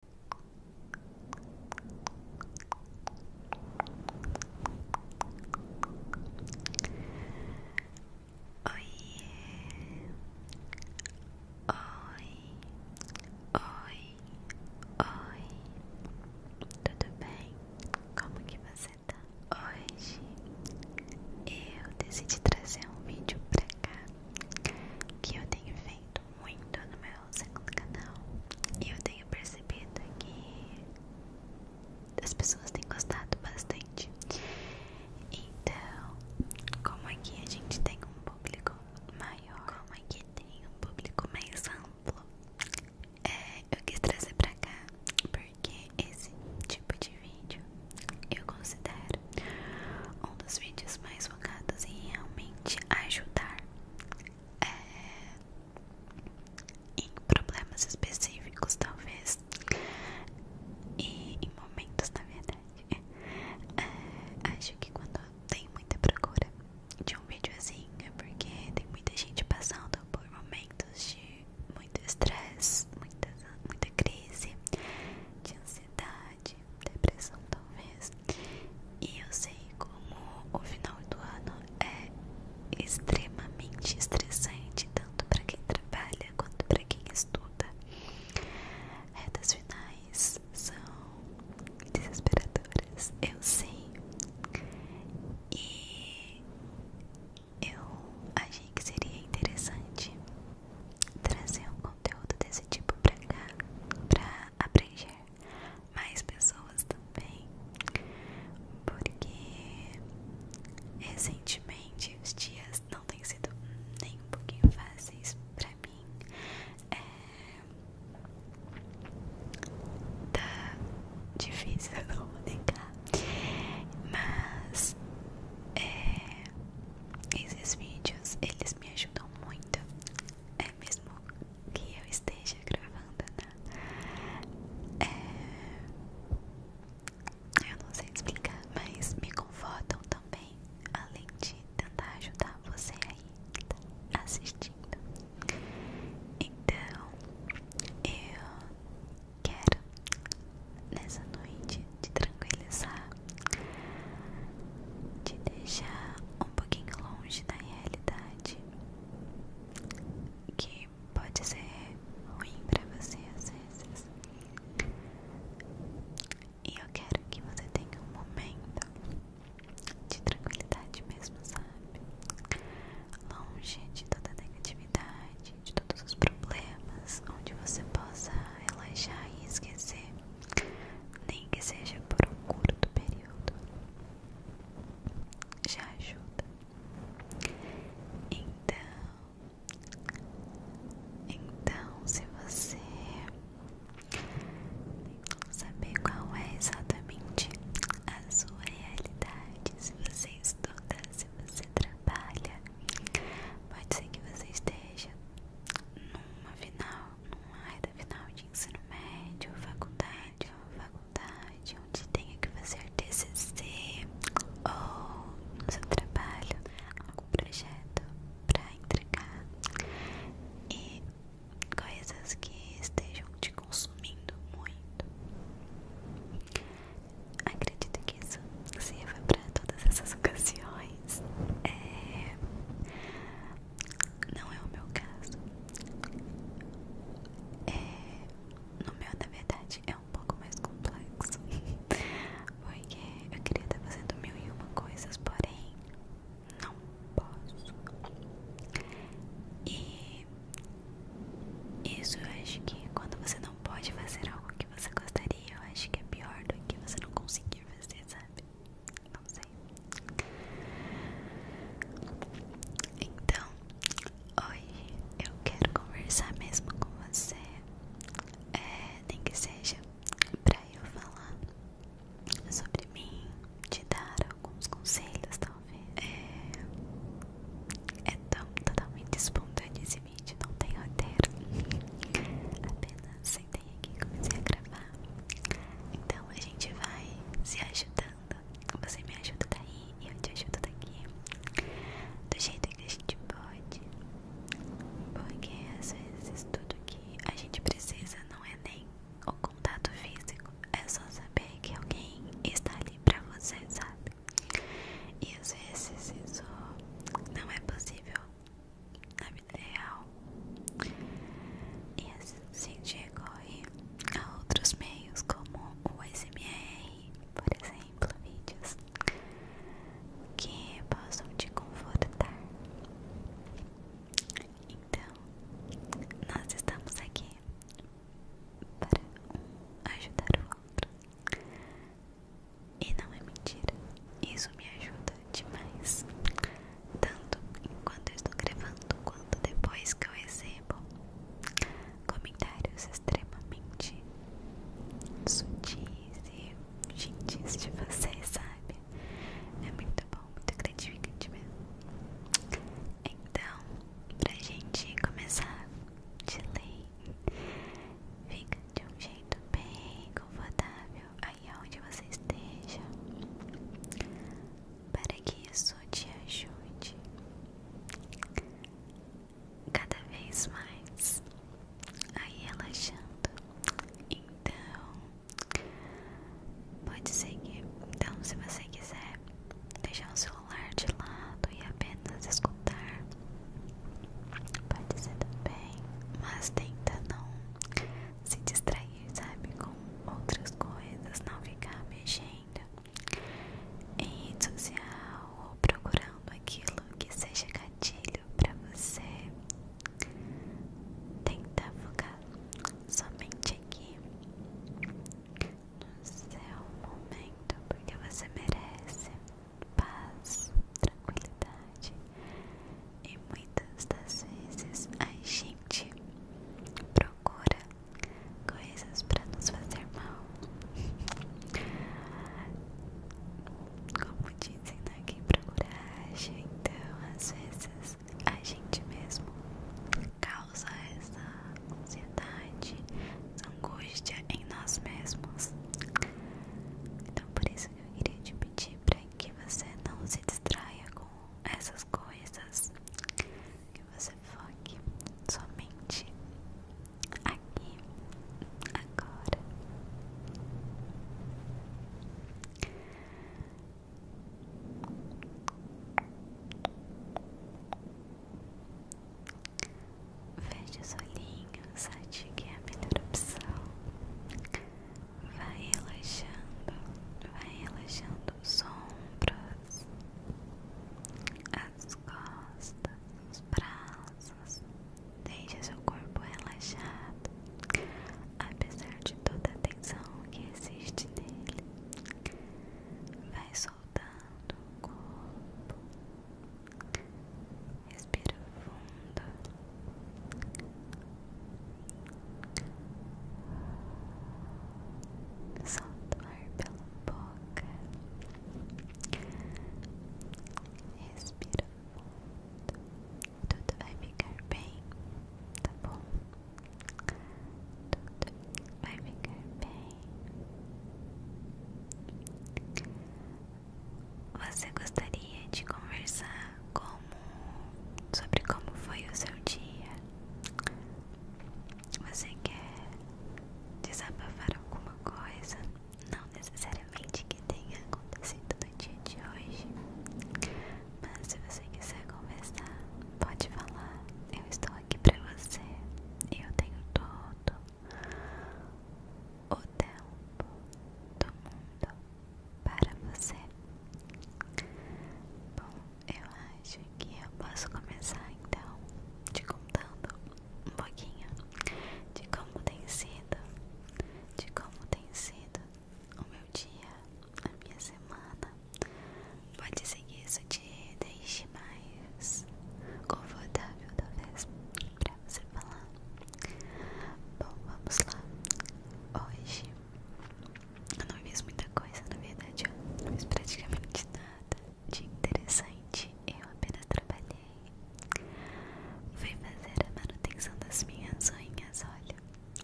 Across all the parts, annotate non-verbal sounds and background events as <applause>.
oi, oi, oi, tudo bem? Como que você tá? Hoje eu decidi trazer um vídeo pra cá que eu tenho feito muito no meu segundo canal e eu tenho percebido que as pessoas têm gostado bastante. Então, como aqui a gente tem um público maior, como aqui tem um público mais amplo, é, eu quis trazer pra cá porque esse tipo de vídeo eu considero um dos vídeos mais focados em realmente ajudar é, em problemas específicos, talvez, e em momentos, na verdade. É, acho que quando tem muita procura de um videozinho assim, é porque tem muita gente passando por momentos de muito estresse, muita, muita crise, de ansiedade depressão talvez. E eu sei como o final do ano é extremamente estressante, tanto para quem trabalha quanto para quem estuda. Retas finais são desesperadoras, eu sei. E eu achei que seria interessante trazer um conteúdo desse tipo pra cá, pra aprender mais pessoas também, porque recentemente os dias não têm sido nem um pouquinho fáceis pra mim. É... Tá difícil, a <laughs> não mas é, esses vídeos eles me ajudam muito. É, mesmo que eu esteja gravando, né? É, eu não sei explicar, mas me confortam também, além de tentar ajudar você aí que tá assistindo. Então, eu quero nessa noite te tranquilizar te deixar um pouquinho longe da realidade que pode ser ruim para você às vezes. E eu quero que você tenha um momento de tranquilidade mesmo, sabe? Longe de toda negatividade, de todos os problemas, onde você possa relaxar e esquecer nem que seja por um curto período, já ajuda. Então, então se você saber qual é exatamente a sua realidade, se você estuda, se você trabalha, pode ser que você esteja numa final numa reta final de ensino médio, faculdade, faculdade, onde tenha que fazer TCC ou no seu trabalho, algum projeto para entregar e coisas que estejam te consumindo muito. Acredito que isso sirva para todas essas ocasiões. É, não é o meu caso. É, no meu, na verdade, é um pouco mais complexo. <laughs> Porque eu queria estar fazendo mil e uma coisas, porém, não posso. E isso eu acho que quando você não pode fazer algo que você gostaria, eu acho que é pior do que você não conseguir fazer, sabe? Não sei. Então, hoje eu quero conversar mesmo com você. É, nem que seja pra eu falar sobre mim, te dar alguns conselhos, talvez. É, é tão totalmente espontâneo esse vídeo, não tem roteiro. <laughs> Apenas sem sentei aqui comecei a gravar. Então a gente vai se ajudando. Você me ajuda daí eu te ajudo daqui. Do jeito que a gente pode. Porque às vezes tudo que a gente precisa não é nem o contato físico. É só saber que alguém está ali pra você, sabe? E às vezes isso não é possível na vida real e assim decorre a outros meios como o SMR, por exemplo, vídeos que possam te confortar. Então, nós estamos aqui para um ajudar o outro. E não é mentira, isso me ajuda demais tanto enquanto eu estou gravando quanto depois que eu recebo comentários extremamente sutis e gentis de você sabe? É muito bom, muito gratificante mesmo. Então, pra gente começar de lei, fica de um jeito bem confortável aí aonde você esteja, para que isso te ajude cada vez mais aí relaxando. Então, pode seguir. Então, se você quiser deixar o celular de lado e apenas escutar, pode ser também, mas tenta não se distrair, sabe, com outras coisas, não ficar mexendo em rede social ou procurando aquilo que seja gatilho para você. Tentar focar somente aqui no seu momento, porque você merece paz, tranquilidade e muitas das vezes a gente procura coisas para nos fazer mal. Como dizem, né? Quem procura acha, então às vezes a gente mesmo causa essa ansiedade, angústia em nós mesmos. Então por isso que eu queria te pedir para que você não se distraia com essas coisas, que você foque somente aqui, agora. Feche os olhinhos, acho que é a melhor opção vai relaxando, vai relaxando os ombros, as costas, os braços, Deixa seu corpo relaxado, apesar de toda a tensão que existe nele, vai soltando o corpo, respira fundo. Solta o ar pela boca. Respira fundo. Tudo vai ficar bem, tá bom? Tudo vai ficar bem. Você gostaria de conversar sobre como foi o seu dia. Você quer desabafar alguma coisa? Não necessariamente que tenha acontecido no dia de hoje, mas se você quiser conversar, pode falar. Eu estou aqui para você e eu tenho todo o tempo do mundo para você. Bom, eu acho que eu posso começar então te contando um pouquinho de como tem sido, de como tem sido o meu dia, a minha semana. Pode ser que isso te deixe mais confortável, talvez, para você falar. Bom, vamos lá. Hoje eu não fiz muita coisa, na verdade, eu não fiz praticamente nada de interessante. Eu apenas trabalhei. Fui fazer a manutenção das minhas unhas, olha.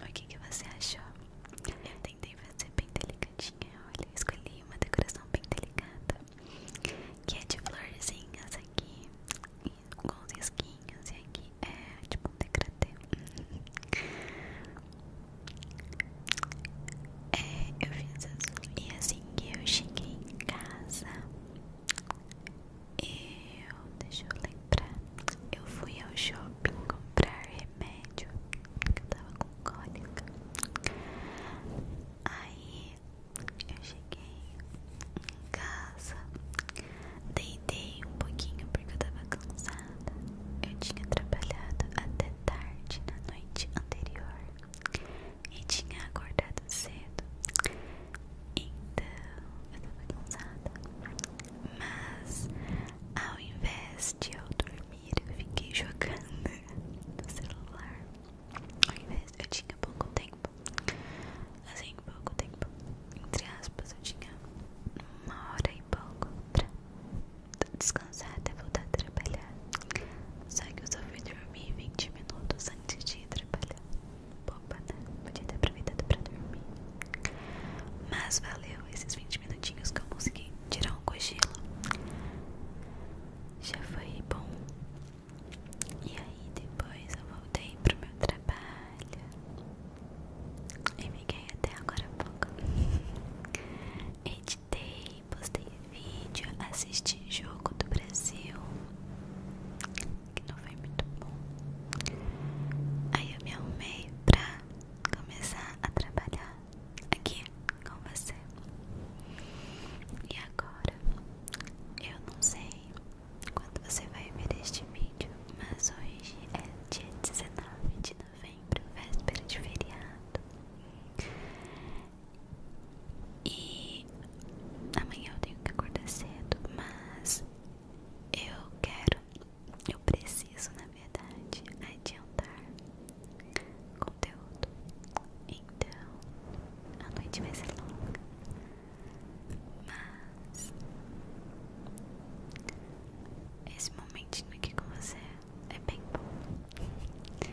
O que, que você achou? Eu tentei fazer bem delicadinha, olha. Escolhi uma decoração bem delicada. Que é de florzinhas aqui com os risquinhos e aqui é tipo um decretê. É, eu fiz isso. E assim que eu cheguei em casa, eu. Deixa eu lembrar. Eu fui ao shopping comprar remédio, porque eu tava com cólica. Aí eu cheguei em casa. Deitei um pouquinho porque eu tava cansada. Eu tinha trabalhado até tarde na noite anterior e tinha acordado cedo. Então eu tava cansada. Mas ao invés de eu dormir, eu fiquei jogando <laughs> no celular. Ao invés, eu tinha pouco tempo assim, pouco tempo, entre aspas, eu tinha uma hora e pouco pra descansar até voltar a trabalhar. Só que eu só fui dormir 20 minutos antes de ir trabalhar. Boba, né? Podia ter aproveitado pra dormir. Mas valeu esses 20 minutinhos que eu consegui tirar um cochilo. Já foi bom. E aí depois eu voltei pro meu trabalho. Eu fiquei até agora há pouco. <laughs> Editei, postei vídeo, assisti jogo do Brasil, que não foi muito bom. Aí eu me arrumei pra começar a trabalhar aqui com você. E agora eu não sei quando você vai ver este vídeo, mas hoje é dia 19 de novembro, véspera de feriado. E amanhã eu tenho que acordar cedo, mas eu quero, eu preciso, na verdade, adiantar conteúdo. Então, a noite vai ser longa. Mas esse momentinho aqui com você é bem bom.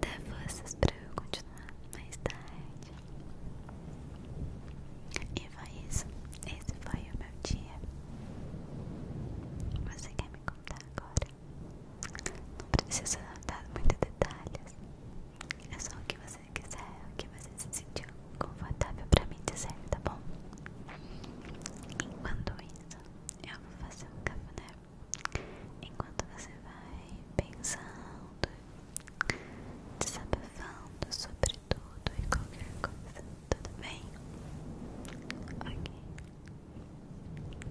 Dá forças pra eu continuar mais tarde. E foi isso. Esse foi o meu dia. Você quer me contar agora? Não precisa dar muitos detalhes. É só o que você quiser, o que você você se sentiu confortável pra me dizer, tá bom? Enquanto isso, eu vou fazer um cafuné. Enquanto você vai pensando, desabafando sobre tudo e qualquer coisa, tudo bem? Ok. Então,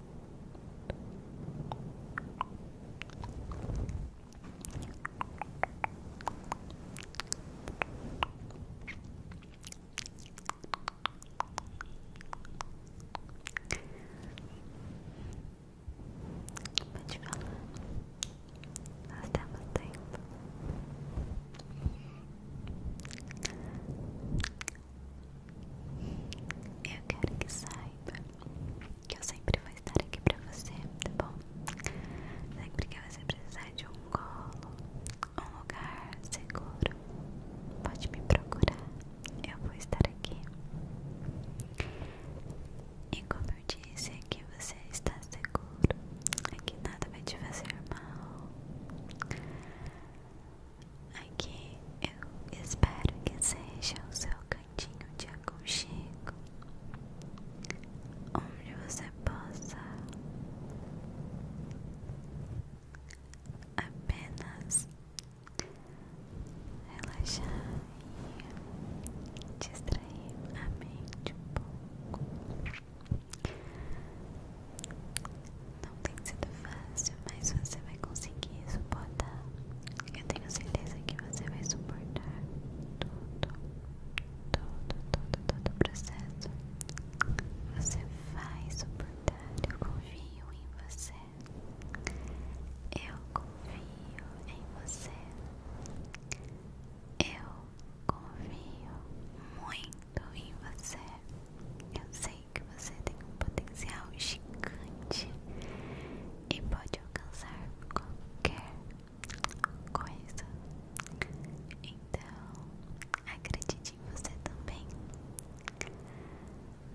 Pode falar, nós temos tempo. Eu quero que saiba que eu sempre vou estar aqui pra você, tá bom? Sempre que você precisar de um colo, um lugar seguro, pode me procurar. Eu vou estar aqui. E como eu disse, aqui você está seguro. Aqui nada vai te fazer mal. Aqui eu espero que seja o seu cantinho de aconchego, onde você possa apenas relaxar e distrair a mente um pouco. Não tem sido fácil, mas você vai conseguir suportar. Eu tenho certeza que você vai suportar tudo, todo, todo, todo o processo. Você vai suportar. Eu confio em você. Eu confio em você. Eu confio muito em você. Eu sei que você tem um potencial gigante e pode alcançar qualquer coisa. Então, acredite em você também.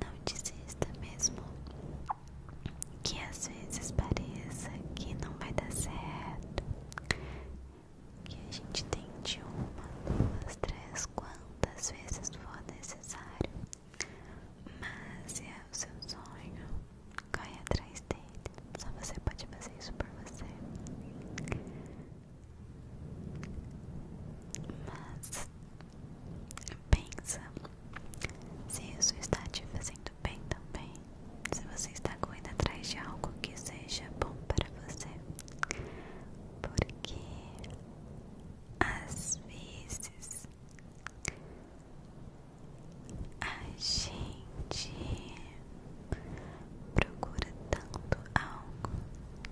Não desista mesmo que às vezes pareça que não vai dar certo. Que a gente tente uma, duas, três, quantas vezes for necessário mas é o seu sonho, corre atrás dele. Só você pode fazer isso por você. Mas pensa se isso está te fazendo bem também. Se você está correndo atrás de algo que seja bom para você. Porque às vezes a gente procura tanto algo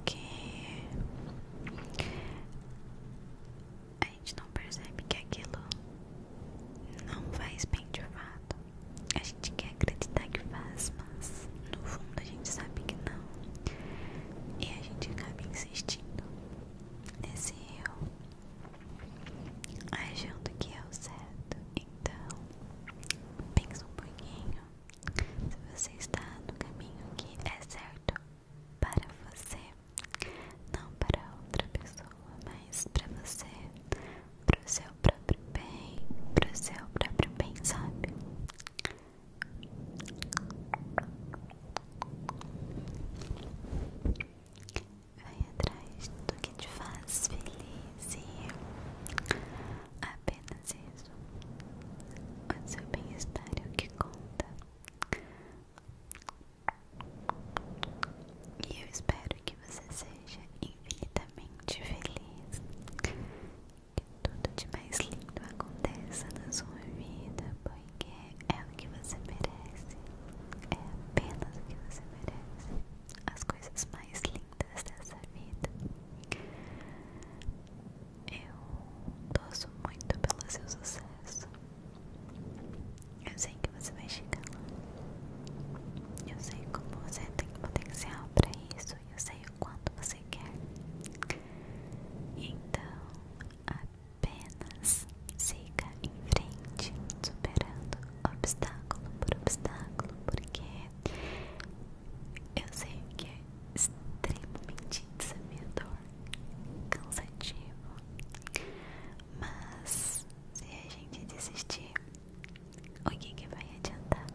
que a gente não percebe que aquilo não faz bem de fato. A gente quer acreditar que faz, mas no fundo a gente sabe que não. E a gente acaba insistindo nesse eu achando que é o certo. Então, pensa um pouquinho se você está no caminho que é certo para você, não para outra pessoa, mas para você, para o seu próprio bem, para o seu próprio bem, sabe? Vai atrás do que te faz feliz e apenas isso. O seu bem-estar é o que conta. E eu espero que você seja infinitamente feliz. Que tudo de mais lindo aconteça na sua vida, pois porque é o que você merece. É apenas o que você merece. As coisas mais lindas dessa vida. Eu torço muito pelo seu sucesso. Eu sei que você vai chegar lá. Eu sei como você tem potencial para isso. Eu sei o quanto você quer. Então, a Apenas siga em frente, superando obstáculo por obstáculo, porque eu sei que é extremamente desafiador, cansativo, mas se a gente desistir, o que, que vai adiantar?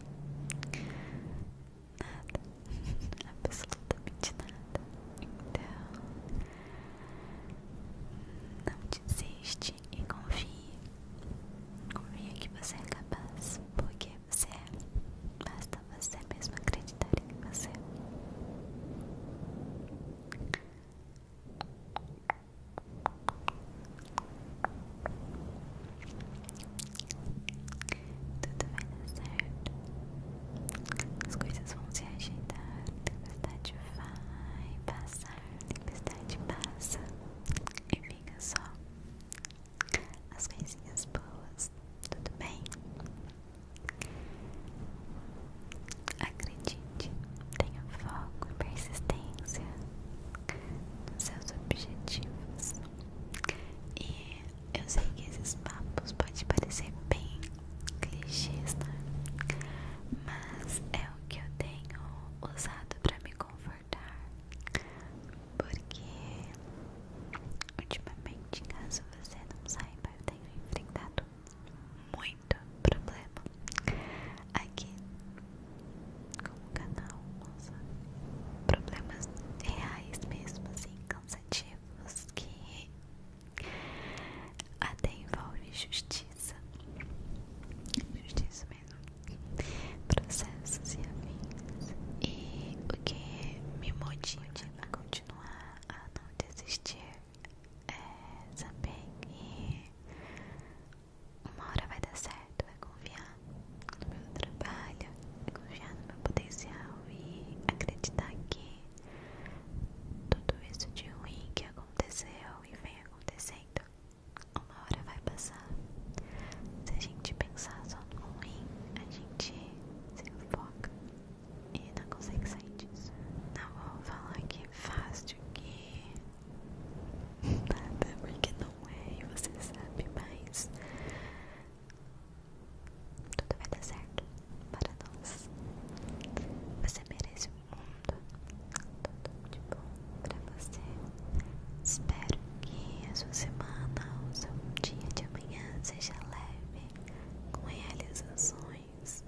Nada, absolutamente nada. Então, não desiste e confie. Confie que você é capaz, porque você é. Basta você mesmo acreditar em você. Tudo vai dar certo. As coisas vão se a Tempestade vai passar. a Tempestade passa. E fica só as coisinhas boas. Tudo bem? Acredite, tenha foco e persistência nos seus objetivos e eu sei que esses papos podem parecer bem clichês, né? Mas é o que eu tenho usado para me confortar. Porque ultimamente, caso você não saiba, eu tenho enfrentado muito problema aqui com canal, nossa, problemas reais mesmo, assim, cansativos que até envolvem justiça, justiça mesmo, processos e afins. E o que me motiva a continuar a não desistir é saber que uma hora vai dar certo, vai confiar no meu trabalho, confiar no meu potencial e acreditar que tudo isso de ruim que aconteceu e vem acontecendo, uma hora vai passar. Se a gente pensar só no ruim, a gente se foca e não consegue sair disso. Não vou falar que é fácil, que <laughs> nada, porque não é, e você sabe, mas tudo vai dar certo para nós. Você merece o mundo. Tudo de bom para você. Espero que a sua semana ou seu dia de amanhã seja leve, com realizações.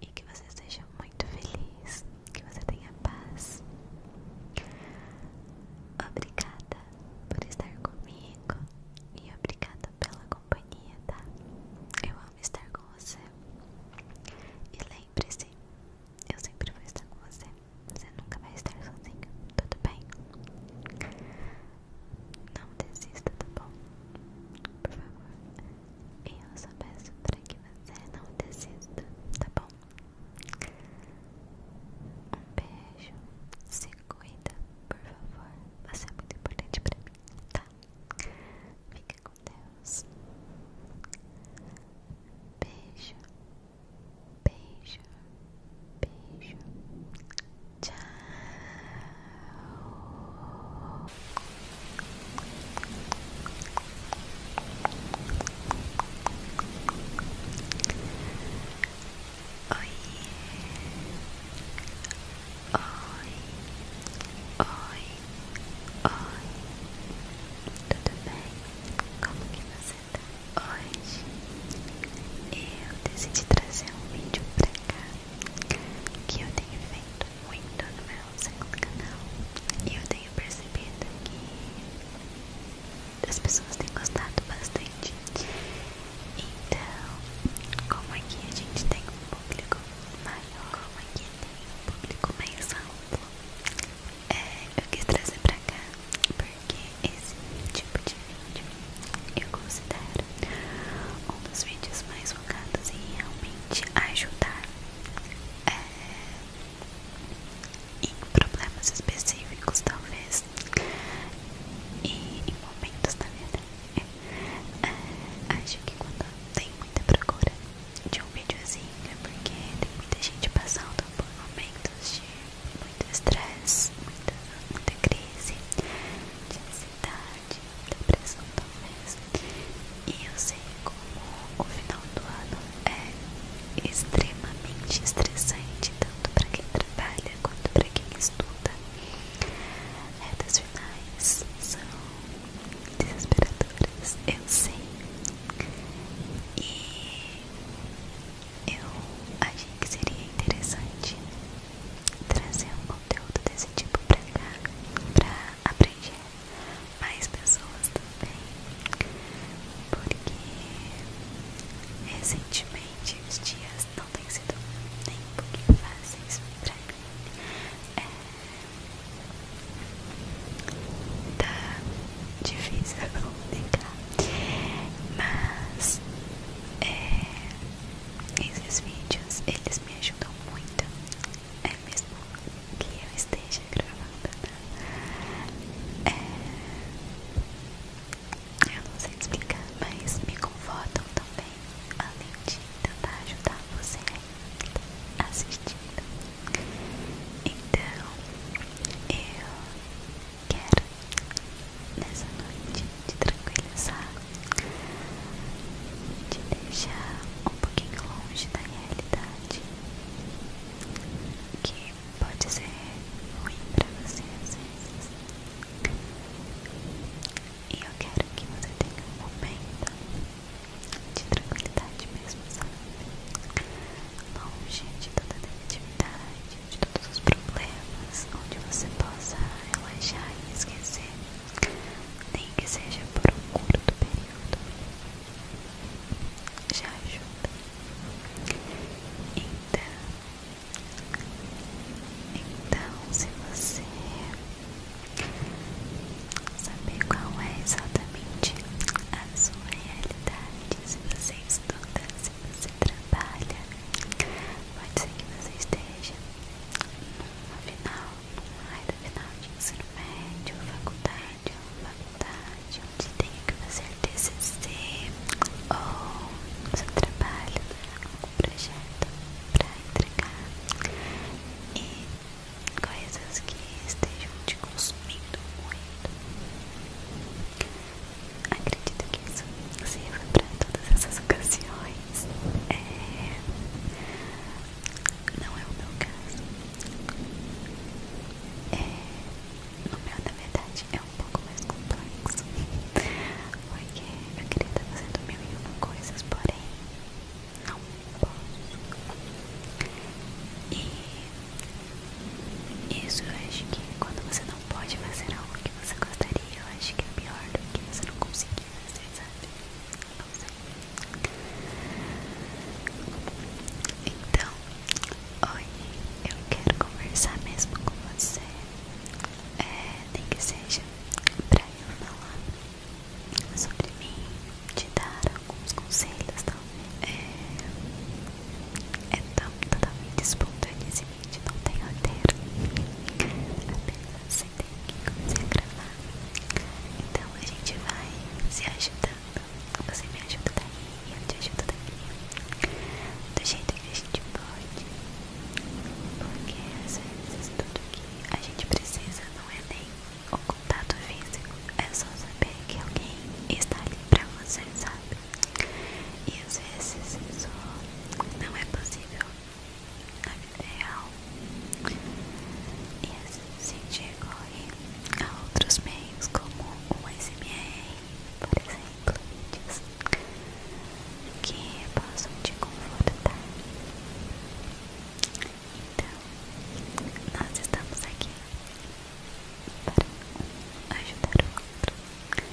E que você seja muito feliz. Que você tenha paz. Obrigada por estar comigo e obrigada pela companhia, tá? Eu amo estar com você. E lembre-se, eu sempre vou estar com você. Você nunca vai estar sozinho, tudo bem? Não desista, tá bom? Por favor. eu só peço pra que você é, não desista, tá bom? Um beijo. Se cuida, por favor. Você é muito importante pra mim, tá? Fica com Deus. Beijo, beijo, beijo. Tchau. Oi. Oi. Oi. Oi. Tudo bem? Como que você está? Hoje eu decidi trazer um vídeo pra cá que eu tenho feito muito no meu segundo canal e eu tenho percebido que as pessoas têm gostado bastante então, como aqui a gente tem um público maior, como aqui tem um público mais alto, é, eu quis trazer pra cá porque esse tipo de vídeo eu considero um dos vídeos mais focados em realmente ajudar é, em problemas específicos, talvez e em momentos da vida. É, acho que quando tem muita procura de um videozinho é porque tem muita gente passando por momentos de muito estresse, muita, muita crise, de ansiedade, depressão talvez. E eu sei como o final do ano é extremamente estressante, tanto para quem trabalha quanto para quem estuda. Retas finais são desesperadoras, eu sei. E eu achei que seria interessante trazer um conteúdo desse tipo pra cá, pra aprender mais pessoas também. Porque recentemente os dias não tem sido nem um pouquinho fáceis pra mim. É... Tá difícil <laughs> comunicar, mas é... esses vídeos eles me ajudam muito, é mesmo que eu esteja gravando. Tá? É... Eu não sei explicar, mas me confortam também, além de tentar ajudar você assistindo. Então, eu quero nessa noite te tranquilizar, te deixar um pouquinho longe da realidade que pode ser ruim pra você às vezes. E eu quero que você tenha um momento de tranquilidade mesmo, sabe? Longe de toda a negatividade, de todos os problemas, onde você possa relaxar e esquecer, nem que seja por um curto período. Já ajuda. Então, então, se você saber qual é exatamente a sua realidade, se você estuda, se você trabalha, pode ser que você esteja no final, numa área final de ensino médio, faculdade, ou faculdade, onde tenha que fazer é TCC ou seu trabalho algum projeto para entregar e coisas que estejam te consumindo muito. Acredito que isso sirva para todas essas ocasiões. É, não é o meu caso. É... No meu, na verdade, é um pouco mais complexo. Porque eu queria estar fazendo mil e uma coisas, porém não posso. E isso eu acho que quando você não pode fazer algo que você gostaria, eu acho que é pior do que você não conseguir fazer, sabe? Não sei. Então, hoje eu quero conversar mesmo com você é, nem que seja pra eu falar sobre mim, te dar alguns conselhos, tá? É, é tão, totalmente espontâneo esse vídeo, não tem ter, apenas você tem que começar a gravar. Então a gente vai se ajudando, você me ajuda daí, eu te ajudo daqui, do jeito que a gente pode. Porque às vezes tudo que a gente precisa não é nem o contato físico, é só saber que alguém está ali pra você, sabe? E às vezes isso não é possível na vida real. E assim se chega a outros meios como o sms por exemplo, vídeos que possam te confortar. Então, nós estamos aqui para ajudar o outro.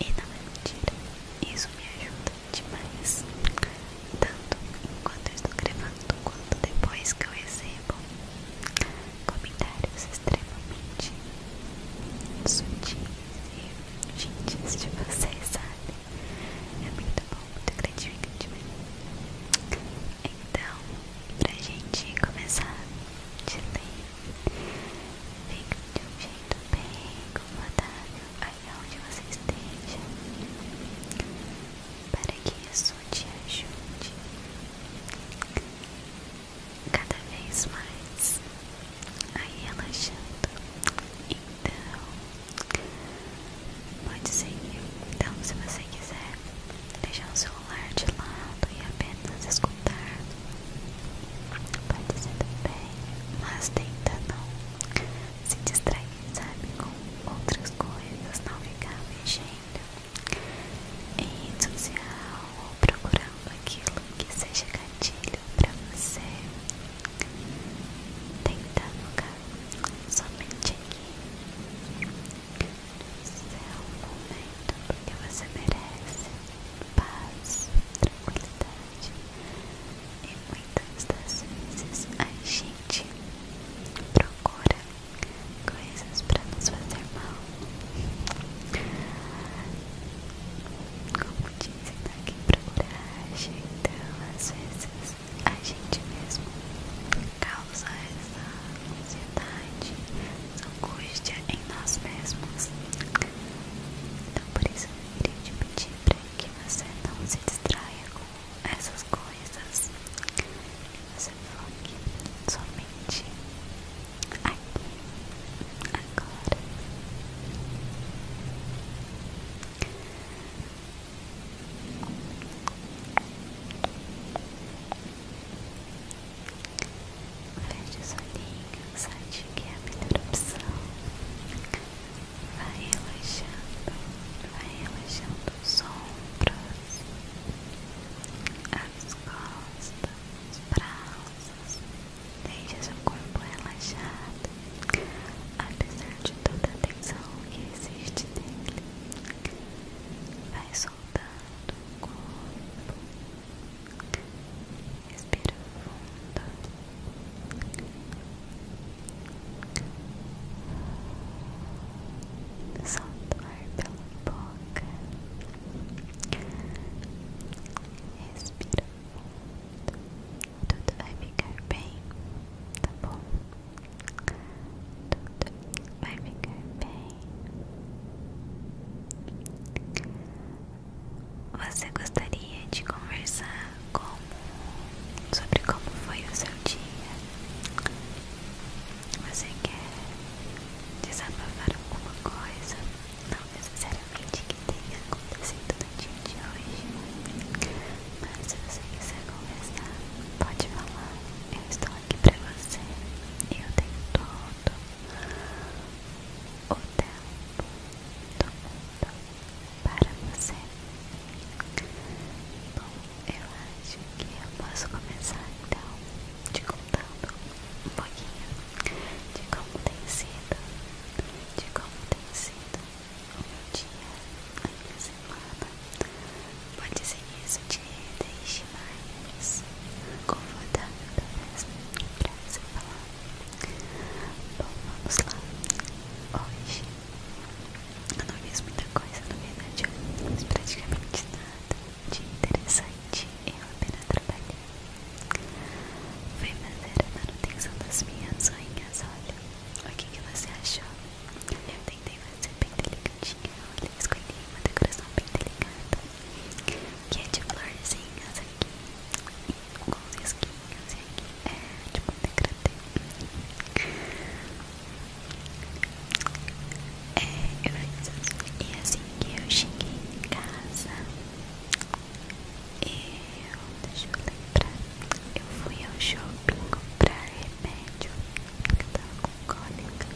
E não é mentira, isso me ajuda demais. Tanto enquanto eu estou gravando, quanto depois que eu recebo comentários extremamente sutis e gentis de vocês, sabe? É muito bom, muito gratificante mesmo. Então, pra gente começar de ler, fica de um jeito bem confortável aí onde você esteja, para que isso te ajude cada vez mais, aí relaxando. Então, pode seguir. Então, se você quiser deixar o celular de lado e apenas escutar, pode ser também, mas tenta não se distrair, sabe, com outras coisas, navegar ficar mexendo em rede social ou procurando aquilo que seja gatilho útil para você tentar focar somente aqui é seu momento, que você merece paz, tranquilidade e muitas das vezes a gente procura coisas para nos fazer mal como dizem, tá aqui pra coragem, então às vezes a gente mesmo causa essa ansiedade, essa angústia em nós mesmos. Então por isso eu queria te pedir pra que você não se distraia com essas coisas. Que você foque somente aqui, agora. Feche os olhinhos, acho que é a melhor opção. Vai relaxando, vai relaxando os ombros, as costas, os braços, Deixa seu corpo relaxado, apesar de toda a tensão que existe nele. Vai soltando o corpo, respira fundo. Solta o ar pela boca. Respira Tudo vai ficar bem, tá bom? Tudo vai ficar bem. Você gostaria de conversar sobre como foi o seu dia? Você quer desabafar alguma coisa? não necessariamente que tenha acontecido no dia de hoje, mas se você quiser conversar, pode falar. Eu estou aqui pra você e eu tenho todo o tempo do mundo para você. Bom, eu acho que eu posso começar então te contando um pouquinho de como tem sido, de como tem sido o meu dia, a minha semana. pode ser isso de deixe mais confortável, talvez, pra você falar. Bom, vamos lá. Hoje eu não fiz muita coisa, na verdade, eu não fiz praticamente nada de interessante. Eu apenas trabalhei foi fazer a manutenção das minhas unhas, olha. O que, que você achou? Eu tentei fazer bem delicadinha, olha. Escolhi uma decoração bem delicada, que é de florzinhas aqui, e com os risquinhos, e aqui é tipo um degradê. É, eu fiz. Assim, e assim que eu cheguei em casa, eu, deixa eu lembrar, eu fui ao shopping comprar remédio, que eu tava com cólica.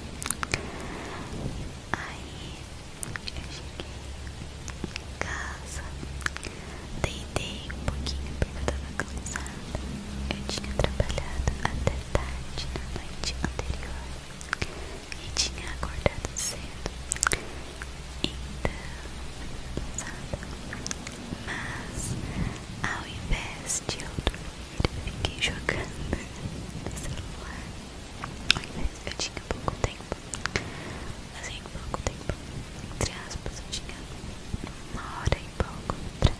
Aí eu cheguei em casa, deitei um pouquinho porque eu tava cansada. Eu tinha trabalhado até tarde na noite anterior e tinha acordado cedo, então cansada. Mas ao invés de eu dormir, fiquei jogando no celular. Ao invés de eu tinha pouco tempo, assim pouco tempo, entre aspas, eu tinha uma hora e pouco pra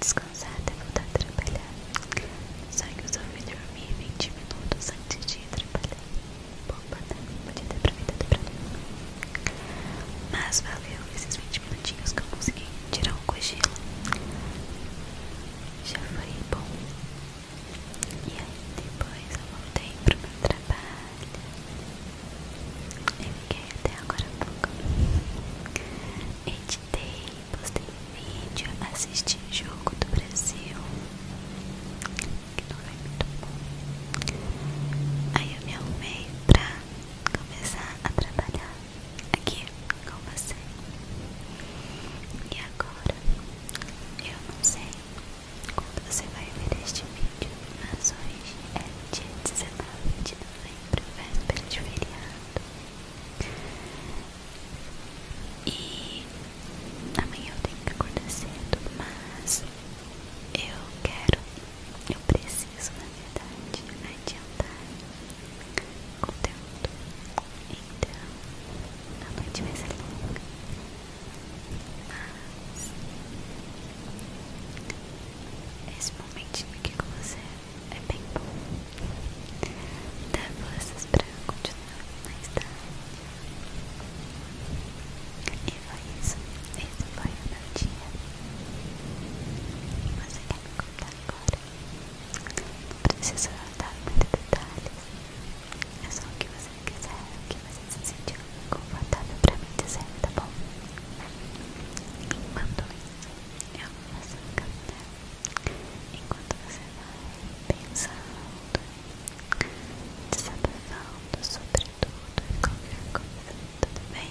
descansar até voltar a trabalhar. Só que eu só fui dormir 20 minutos antes de trabalhar. Tá? Mas valeu esses 20 minutinhos que eu consegui tirar um cochilo. Já foi bom. E aí depois eu voltei pro meu trabalho. Eu fiquei até agora pouco. Editei, postei assistir jogo do Brasil, que não foi é muito bom. Aí eu me arrumei pra começar a trabalhar aqui com você. E agora, eu não sei quando você vai ver este vídeo, mas hoje é dia 19 de novembro, véspera de feriado. E amanhã eu tenho que acordar cedo, mas eu quero, eu preciso na verdade adiantar conteúdo. Então a noite vai ser longa, mas esse momentinho aqui com você é bem bom. Dá forças pra continuar mais tarde. Tá. E foi isso. Esse foi o meu dia. E você quer me contar agora? Não precisa dar muitos detalhes. É só o que você quiser, o que você se sentiu confortável para mim dizer, tá bom? Enquanto isso, eu vou fazer um caminho. Enquanto você vai pensando, desabafando sobre tudo e qualquer coisa, tudo bem?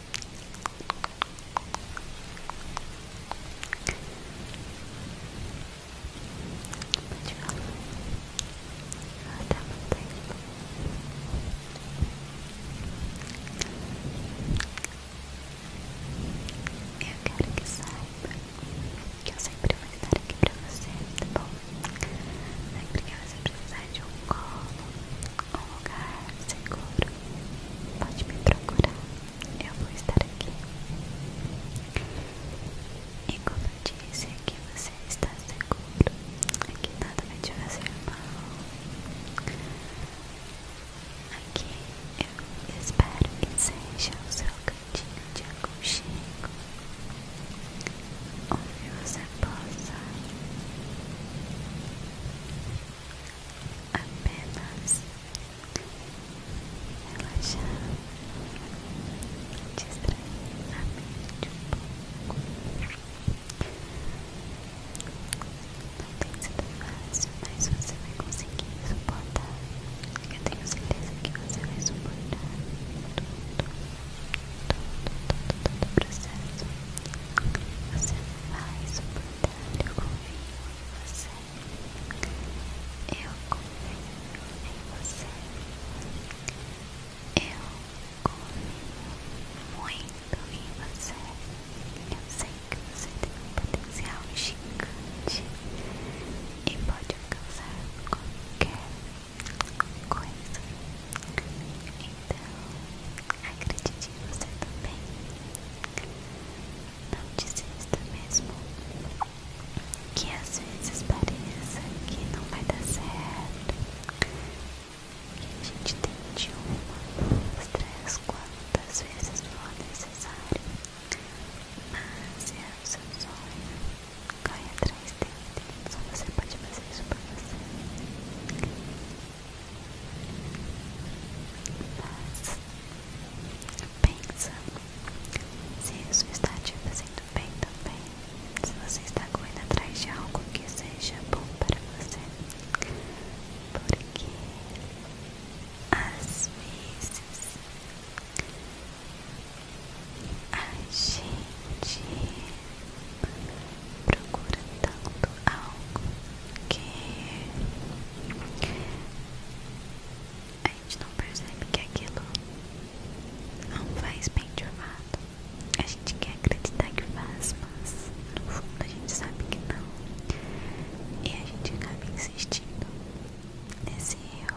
Pode falar. Ah, tá bom, tá eu quero que saiba que eu sempre vou estar aqui pra você, tá bom? Sempre que você precisar de um colo, um lugar seguro. Pode me procurar, eu vou estar aqui. E como eu disse, aqui você está seguro. Aqui é nada vai te fazer mal. Aqui eu espero que seja o seu cantinho de aconchego. Onde você possa apenas relaxar, distrair a mente um pouco. Não tem sido fácil, mas você vai conseguir suportar. Eu tenho certeza que você vai suportar todo, todo, todo, todo, todo o processo. Você mas, portanto, eu confio em você. Eu confio em você. Eu confio muito em você. Eu sei que você tem um potencial gigante e pode alcançar qualquer coisa. Então, acredite você também. Tá não desista mesmo. Que às vezes pareça que não vai dar certo. Que a gente tente uma, duas, três, quantas vezes for necessário. Mas é o seu sonho. Corre atrás dele. Só você pode fazer isso por você. Pensa se isso está te fazendo bem também. Se você está correndo atrás de algo que seja bom para você. Porque às vezes a gente procura tanto algo que a gente não percebe que aquilo não faz bem de amado. A gente quer acreditar que faz, mas no fundo a gente sabe que não. E a gente acaba insistindo nesse eu,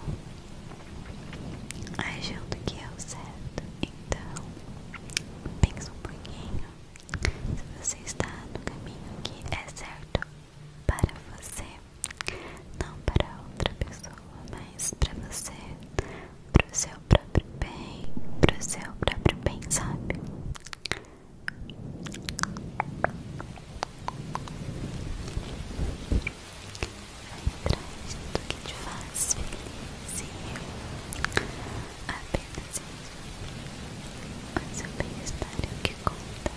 achando que é o certo. Então, pensa um pouquinho se você está no caminho que é certo para você, não para outra pessoa, mas para você, para o seu próprio bem, para o seu próprio bem, sabe? Vai atrás do que te faz feliz e apenas o seu bem-estar o que conta.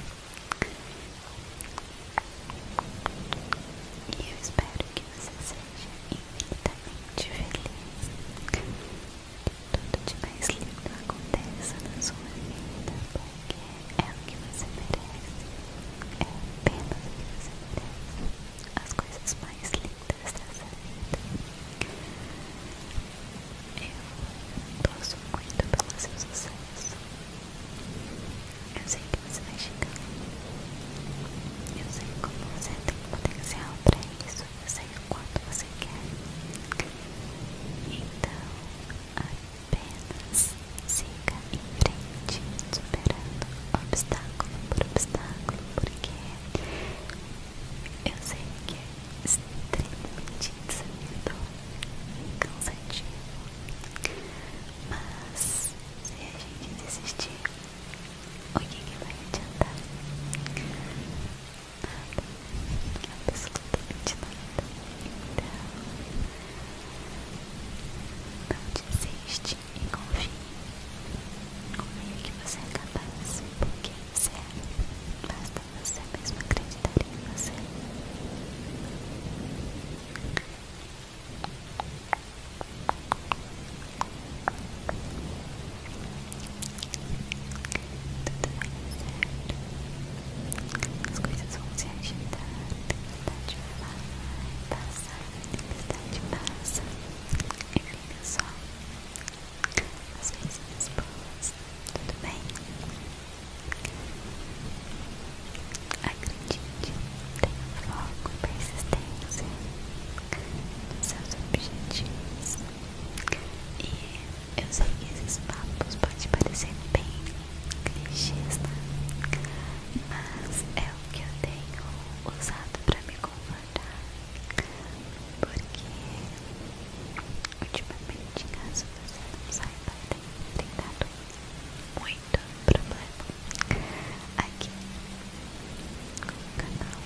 E eu espero que você seja infinitamente feliz. Que tudo de mais lindo aconteça na sua vida, porque é o que você merece. É apenas o que você merece. As coisas mais lindas eu torço muito pelo seu sucesso. Eu sei que você vai chegar. Eu sei como você tem potencial para isso. Eu sei o quanto você quer. Então, apenas siga em frente, superando obstáculo por obstáculo, porque eu sei que é extremamente desafiador e cansativo, mas se a gente desistir, o que, vai adiantar? A Nada, absolutamente nada. Então, não desiste e confie. Confie é que você é capaz, você, é basta você mesmo acreditar em você. Tudo vai dar certo. As coisas vão se agitar. Tempestade vai passar. Tempestade passa. E fica só as coisinhas boas, tudo bem? Acredite, tenha foco e persistência nos seus objetivos. E eu sei que esses papos podem parecer bem clichês, né? mas é o que eu tenho usado para me convencer porque ultimamente caso você não saiba tem dado muito problema aqui com o canal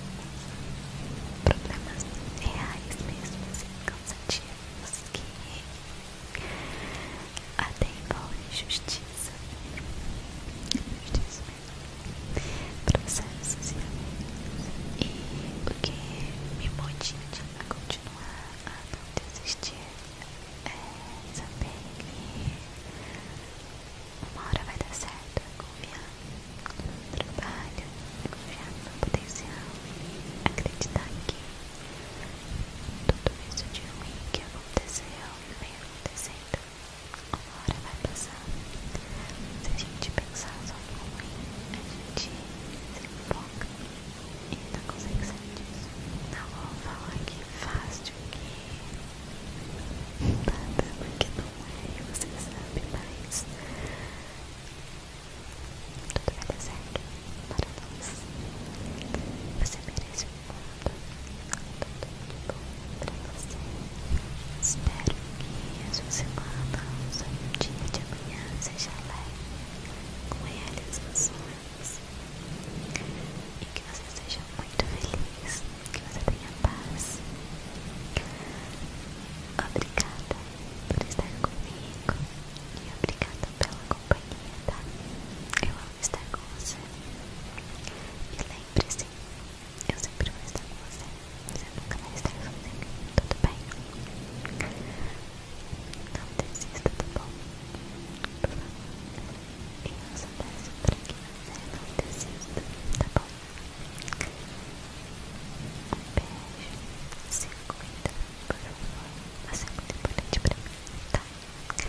problemas reais mesmo assim, cansativos que até envolve injustiça justiça mesmo processos e amigos. E porque que me motiva a continuar a não desistir é saber que uma hora vai dar certo, é confiar no trabalho, é confiar no meu potencial, é acreditar que tudo isso de ruim que aconteceu vem acontecendo agora vai passar. Se a gente pensar só no ruim, a gente se foca e não consegue sair disso. Não vou falar que fácil, que é. nada, porque não é, você sabe, mas tudo vai dar certo para nós. Você merece um tudo de bom pra Espero que a sua semana, o dia de amanhã seja leve, com elas realizações e que você seja muito feliz, que você tenha paz. Obrigada por estar comigo e obrigada pela companhia, tá? Eu amo estar com você. E lembre-se eu sempre vou estar com você. Você nunca vai estar sozinho. Tudo bem? Não desista, tá bom? Por favor. Eu só peço pra que não desista, tá bom? Um Se cuida, por favor. Você é importante pra mim, tá? Fica com Deus.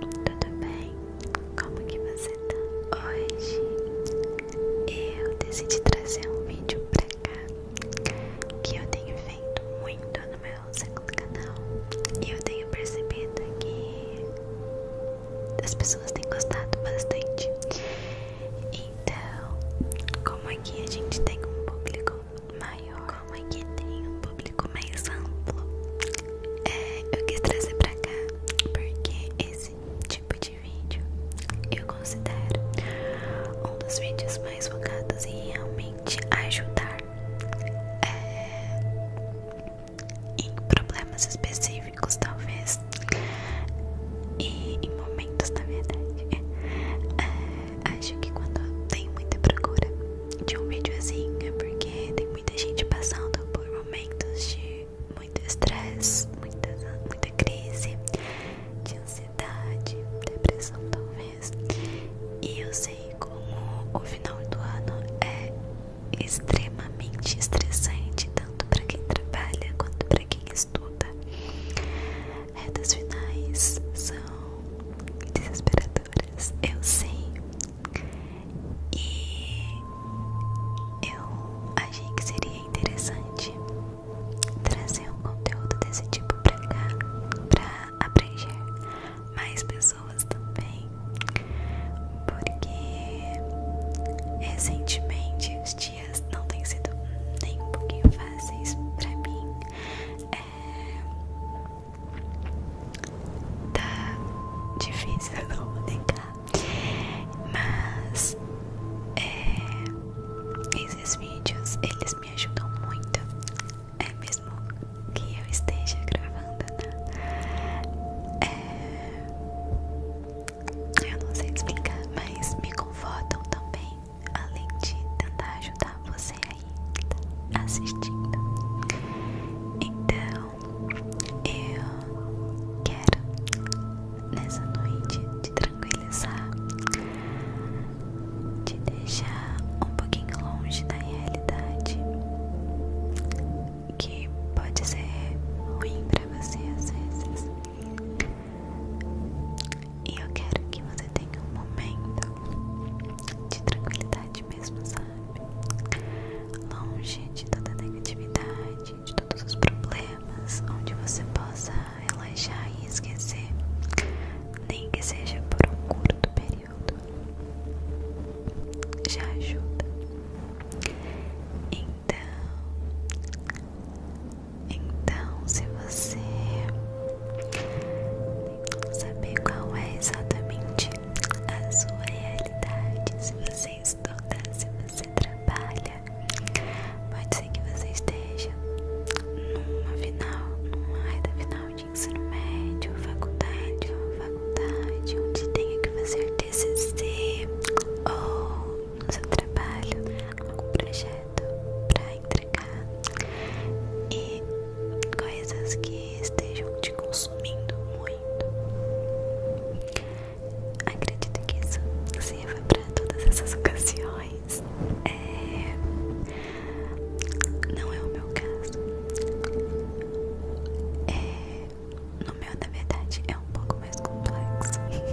tudo bem? Como que você tá? Hoje eu decidi trazer um vídeo pra cá que eu tenho feito muito no meu segundo canal e eu tenho percebido que as pessoas têm gostado bastante. Então, como aqui é a gente tem um público maior, como aqui é tem um público mais amplo, é, eu quis trazer pra cá porque esse tipo de vídeo eu considero um dos vídeos mais focados em realmente ajudar é, em problemas específicos, talvez, e em momentos, na verdade. É, acho que quando tem muita procura de um vídeozinho é porque tem muita gente passando por momentos de muito estresse, muita, muita crise, de ansiedade, depressão talvez. E eu sei como o final do ano é extremamente estressante, tanto para quem trabalha quanto para quem estuda. Retas finais são desesperadoras, eu sei, e eu achei que seria interessante trazer um conteúdo desse tipo pra cá, pra aprender mais pessoas também, porque recentemente os dias não têm sido nem um pouquinho fáceis pra mim. É, tá difícil, eu não vou negar. Mas é, esses vídeos eles me ajudam muito, é mesmo que eu esteja gravando, né? É, eu não sei explicar, mas me confortam também, além de tentar ajudar você aí tá assistindo. Então, eu quero nessa noite te tranquilizar, te deixar um pouquinho longe da realidade que pode ser ruim para você às vezes. E eu quero que você tenha um momento de tranquilidade mesmo, sabe? Longe de toda negatividade, de todos os problemas, onde você possa relaxar e esquecer, nem que seja por um curto período, já ajuda. Então, então, se você saber qual é exatamente a sua realidade. Se você estuda, se você trabalha, pode ser que você esteja numa final, numa reta final de ensino médio, faculdade ou faculdade, onde tenha que fazer TCC ou no seu trabalho, algum projeto para entregar e coisas que estejam te consumindo muito. Acredito que isso sirva para todas essas ocasiões. É... Não é o meu caso. É... No meu, na verdade, é um pouco mais complexo. <laughs>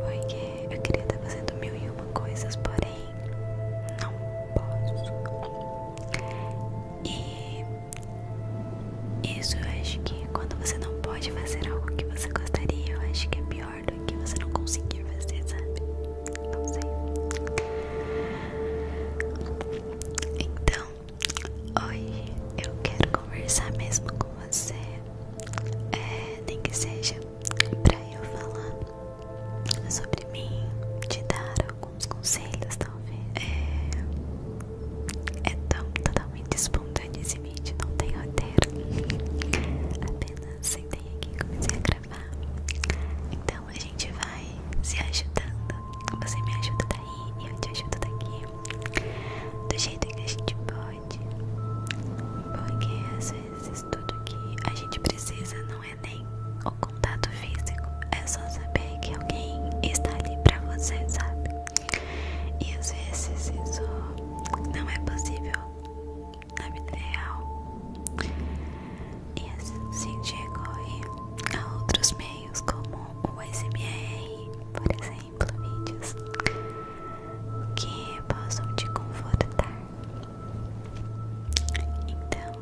Porque eu queria estar fazendo mil e uma coisas, porém não posso. E isso eu acho que quando você não pode fazer algo que você gostaria, eu acho que é pior do que você não conseguir fazer, sabe? Não sei. Então, hoje eu quero conversar mesmo com você, é, nem que seja pra eu falar sobre mim, te dar alguns conselhos, talvez. É, é tão totalmente espontâneo esse vídeo, não tem roteiro. <laughs> Apenas sentei aqui e comecei a gravar. Então a gente vai se ajudando. Você me ajuda daí e eu te ajudo daqui. Do jeito que a gente pode. Porque às vezes tudo que a gente precisa não é nem o contato físico, é só saber que alguém está ali para você, sabe? E às vezes isso não é possível na vida real. E assim recorre a outros meios como o SMR, por exemplo, vídeos que possam te confortar. Então,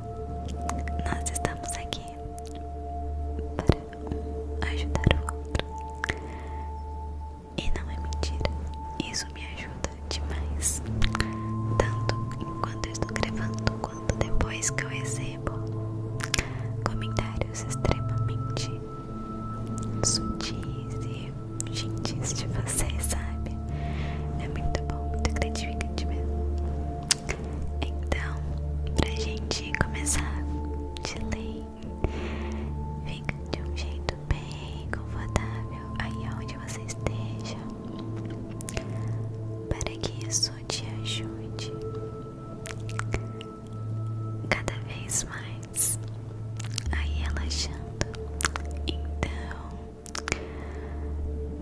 nós estamos aqui para ajudar o outro. E não é mentira, isso me ajuda demais. Tanto enquanto eu estou gravando, quanto depois que eu recebo comentários extremamente sutis e gentis de vocês, sabe? É muito bom, muito gratificante mesmo. Então, pra gente começar de lei, fica de um jeito bem confortável aí onde você esteja, para que isso te ajude cada vez mais aí relaxando. Então,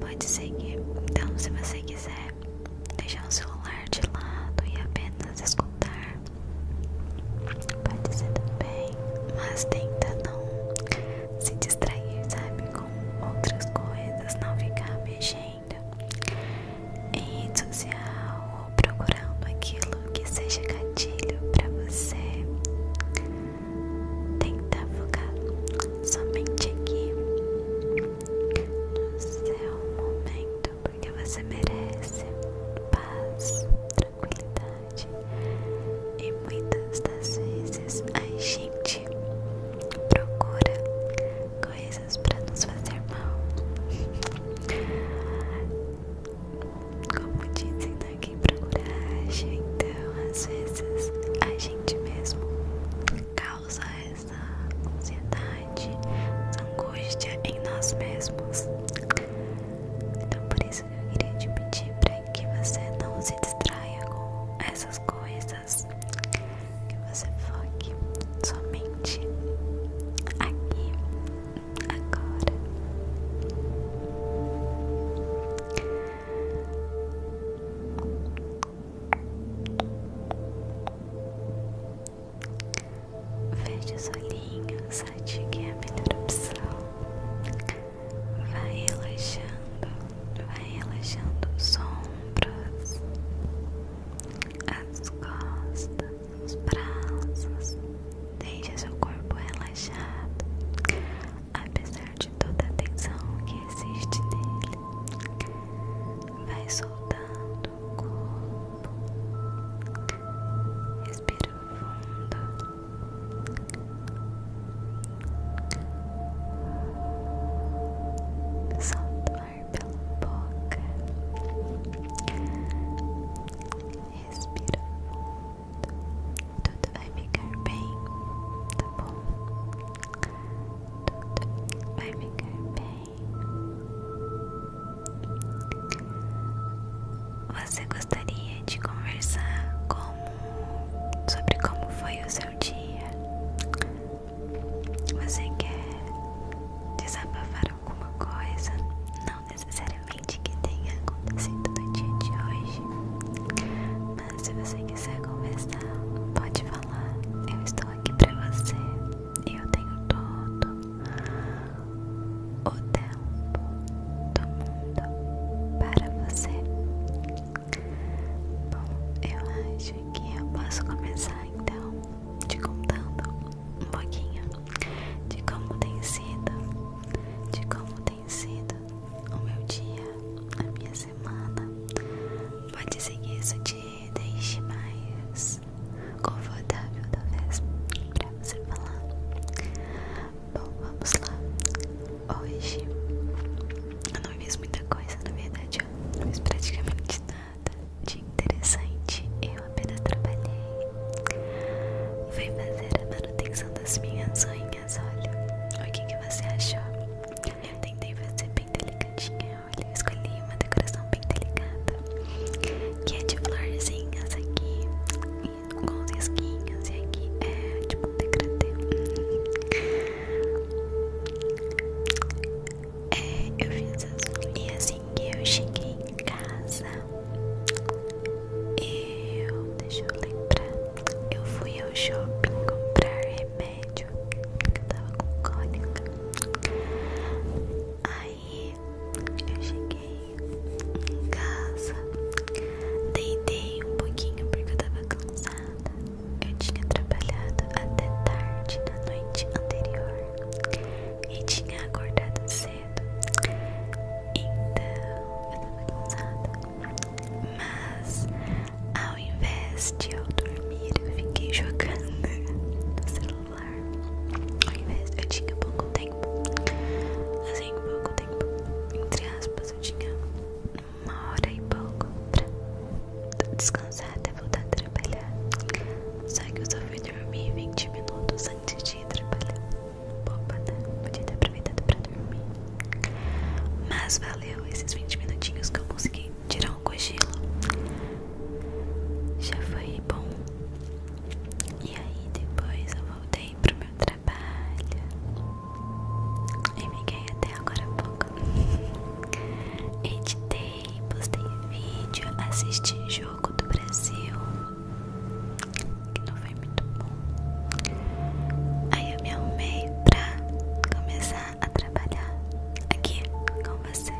pode seguir. Então, se você quiser é deixar o celular de lado e apenas escutar. Pode ser também, mas tenta não se distrair, sabe, com outras coisas, não ficar mexendo em rede social ou procurando aquilo que seja gatilho para você. Tenta tá focar somente aqui no seu é momento, porque você merece paz, tranquilidade e muitas das vezes a gente procura coisas para nos fazer mal. Como dizem, né? quem procura gente então às vezes a gente mesmo causa causa essa ansiedade, essa angústia em nós mesmos. Então, por isso eu queria te pedir para que você não se distraia com essas coisas, que você foque somente aqui, agora. Veja os olhinhos, acho a melhor opção. Vai relaxando, vai relaxando os ombros, as costas, os braços. Deixe seu corpo relaxado, apesar de toda a tensão que existe nele vai soltando o corpo, respira fundo. Solta o ar pela boca, respira fundo, tudo vai ficar bem, tá bom? Tudo vai ficar bem. Você gostaria de conversar sobre como foi o seu dia? Você quer desabafar alguma coisa? Não necessariamente que tenha acontecido no dia de hoje, mas se você quiser conversar, pode falar. Eu estou aqui para você eu tenho todo o tempo do mundo para você. Bom, eu acho que eu posso começar então te contando um pouquinho de como tem sido, de como tem sido o meu dia, a minha semana. Pode seguir isso de deixe mais confortável, talvez, pra você falar. Bom, vamos lá. Hoje eu não fiz muita coisa, na verdade, eu não fiz praticamente nada de interessante. Eu apenas trabalhei. Fui fazer a manutenção das minhas unhas, olha. O que, que você achou? Eu tentei fazer bem delicadinho olha, eu escolhi uma decoração bem delicada Que é de florzinhas aqui Com os esquinhos E aqui é tipo um degradê É, eu fiz assim E assim que eu cheguei em casa Eu, deixa eu lembrar Eu fui ao shopping comprar remédio médio que eu tava com cólica. Aí eu cheguei em casa, deitei um pouquinho porque eu tava cansada. Eu tinha trabalhado até tarde na noite anterior e tinha acordado cedo. Então eu tava cansada. Mas a ao invés de eu dormir, eu fiquei jogando <laughs> no celular. Ao invés de eu tinha pouco tempo, assim, pouco tempo, entre aspas, eu tinha uma hora e pouco pra descansar até voltar a trabalhar. Só que eu só fui dormir 20 minutos antes de ir trabalhar. Boba, né? Podia ter aproveitado pra dormir. Mas valeu esses 20 minutinhos que eu consegui tirar um cochilo. Já foi bom. E aí depois eu voltei pro meu trabalho. E me ganhei até agora há pouco. <laughs> Editei, postei vídeo, assisti jogo do Brasil. Que não foi muito bom. Aí eu me arrumei pra começar a trabalhar aqui com você.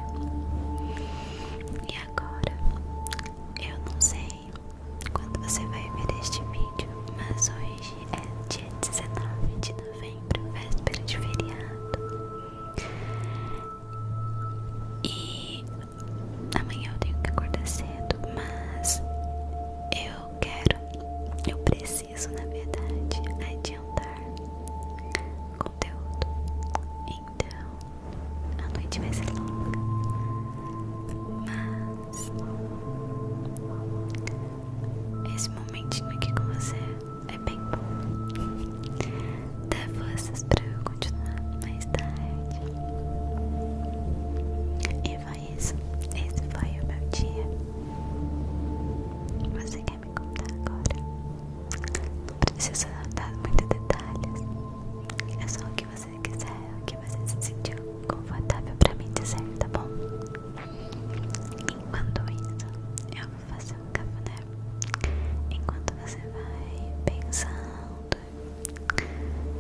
E agora, eu não sei quando você vai ver este vídeo, mas hoje é dia 19 de novembro, véspera de feriado. E amanhã eu tenho que acordar cedo, mas eu quero, eu preciso isso na verdade, adiantar conteúdo. Então, a noite vai ser longa, mas esse momentinho aqui com você é bem bom. Dá forças pra eu continuar mais tarde. E foi isso. Esse foi o meu dia. Você quer vai me contar agora. Não precisa dar muitos detalhes. É só o que você quiser, o que você se sentiu confortável pra mim dizer, tá bom? Enquanto isso, eu vou fazer um cafuné. Enquanto você vai pensando,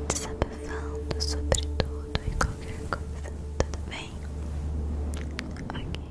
desabafando sobre tudo e qualquer coisa, tudo bem? Ok.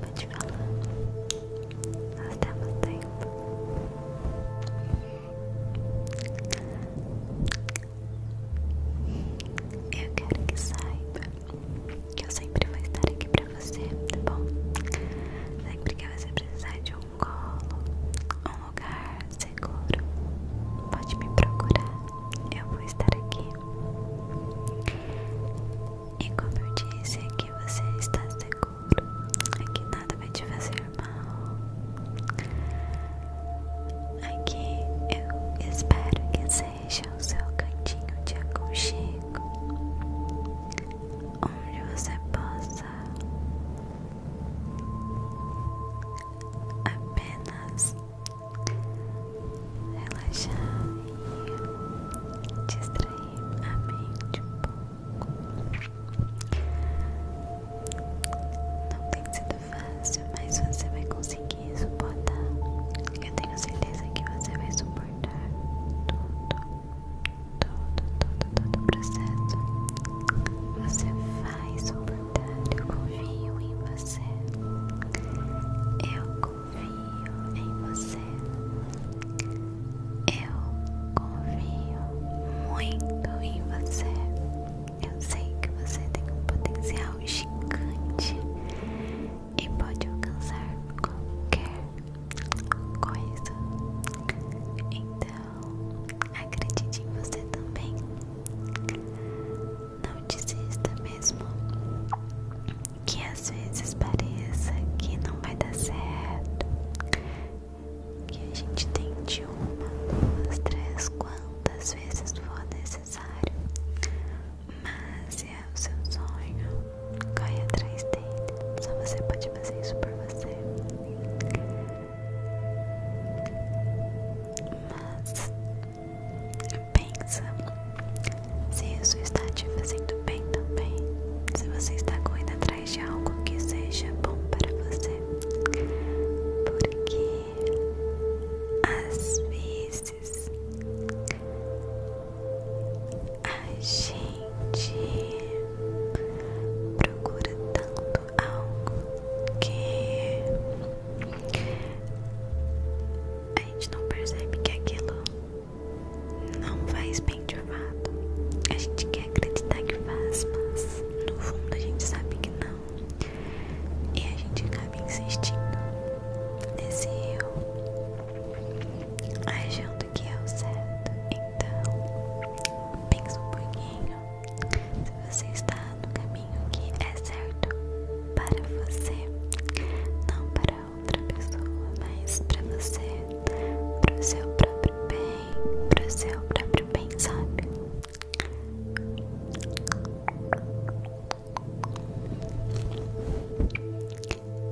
Vou te falar. Nós temos tempo. Eu quero que saiba que eu sempre vou estar aqui pra você, tá bom? Sempre que você precisar de um colo, um lugar seguro, pode me procurar. Eu vou estar aqui. E como eu disse, aqui você está seguro. Aqui nada vai te fazer mal. Aqui eu espero que seja o seu cantinho de aconchego, onde você possa apenas relaxar e distrair a mente um pouco. Não tem sido fácil, mas você vai conseguir suportar. Eu tenho certeza que você vai suportar tudo, todo, todo, todo o processo. Você vai suportar. Eu confio em você. Eu confio confio em você. Eu confio muito em você. Eu sei que você tem um potencial gigante e pode alcançar qualquer coisa. Então, acredite em você também. Não desista mesmo que às vezes pareça que não vai dar certo, que a gente tente uma, duas, três, quantas vezes for necessário, mas é o seu sonho, corre atrás dele, só você pode fazer isso por você. Mas pensa se isso está te fazendo bem também, se você está correndo atrás de algo que seja bom para você, porque às vezes a gente procura tanto algo que a gente não percebe que aquilo não faz bem de fato. A gente quer acreditar que faz, mas no fundo a gente sabe que não. E a gente acaba insistindo nesse eu achando que é o certo. Então, pensa um pouquinho se você está no caminho que é certo para você, não para outra pessoa, mas pra você, pro seu próprio bem, pro seu próprio bem, sabe?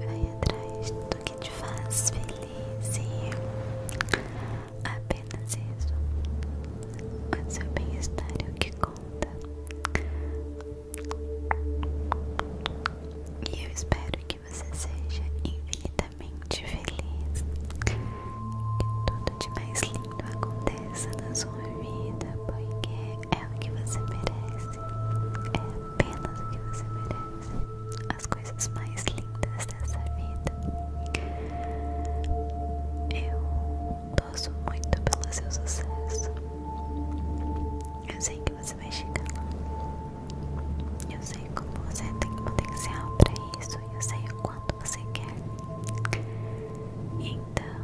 Vai atrás do que te faz feliz e apenas isso. O seu bem-estar é o que conta. E eu espero que que você seja infinitamente feliz. Que tudo de mais lindo aconteça na sua vida, porque é o que você merece. É apenas o que você merece. As coisas mais lindas dessa vida. Eu torço muito pelo seu sucesso. Eu sei que você vai chegar lá. Eu sei como você tem potencial para isso. Eu sei o quanto você quer. Então,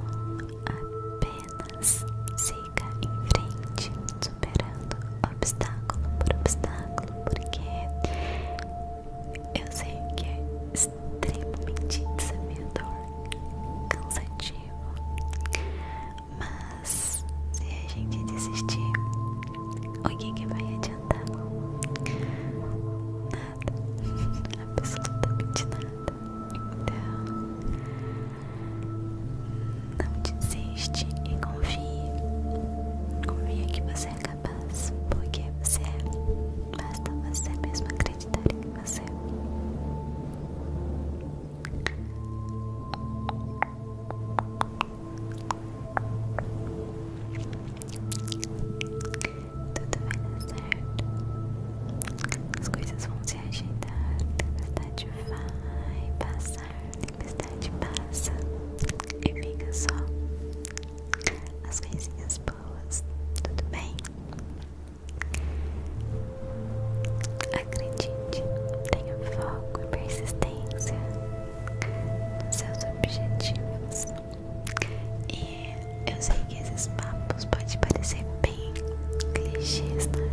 apenas siga em frente, superando obstáculo por obstáculo, porque eu sei que é extremamente desafiador, cansativo. Mas se a gente desistir, o que, que vai adiantar? Nada, absolutamente nada. Então, não desiste e confie. Confie que você é capaz, porque você é. Basta você mesmo acreditar em você. Tudo vai dar né, certo. As coisas vão se ajeitar. Tempestade vai passar. a Tempestade passa. E fica só as coisinhas boas. Tudo bem? Acredite, tenha foco e persistência nos seus objetivos. E eu sei que esses papos podem parecer bem clichês, né?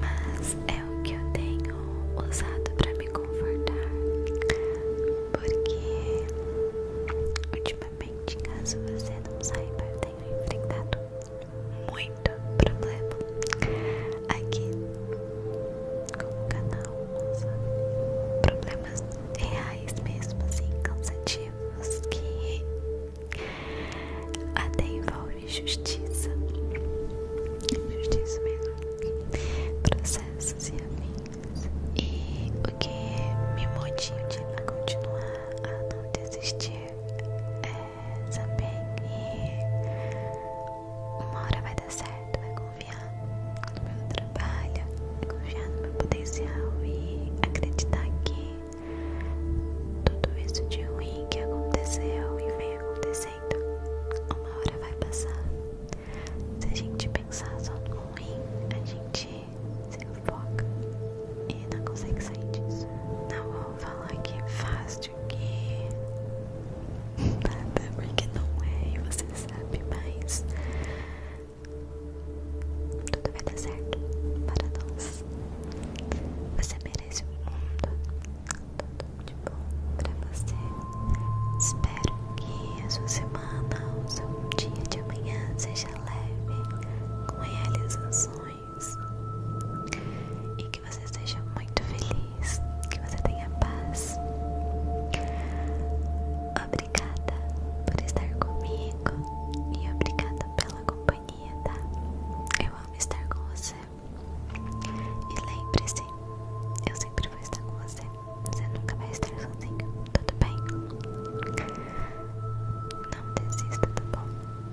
Mas é o que eu tenho usado para me confortar. Porque ultimamente, caso você não saiba, eu tenho enfrentado muito problema aqui com o canal problemas reais mesmo assim cansativos que até envolve justiça justiça mesmo processos e amigos e o que me motiva a continuar a não desistir é saber que uma hora vai dar certo, vai confiar no meu trabalho, confiar no meu potencial e acreditar que tudo isso de ruim que aconteceu e vem acontecendo, uma hora vai passar. Se a gente pensar só no ruim, a gente se foca e não consegue sair disso. Não vou falar que é faço vídeo aqui nada porque não é e você sabe, mas tudo vai dar certo para nós. Você merece o mundo, tudo de bom para você. Espero que a sua semana ou seu dia de amanhã seja leve, com realizações. E que você seja muito feliz, que você tenha paz. Obrigada por estar comigo e obrigada pela companhia, tá? Eu amo estar com você. E lembre-se, eu sempre vou estar com você. Você nunca vai estar sozinho, tudo bem? Não desista, tá bom? por favor.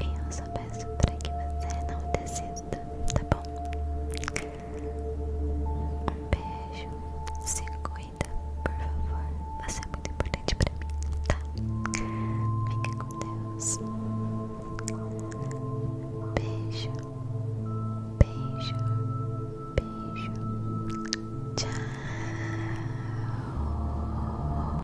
E eu só peço para que você não desista, tá bom? beijo, se cuida, por favor. Você é muito importante para mim, tá? Fica com Deus. Beijo, beijo, beijo. Tchau.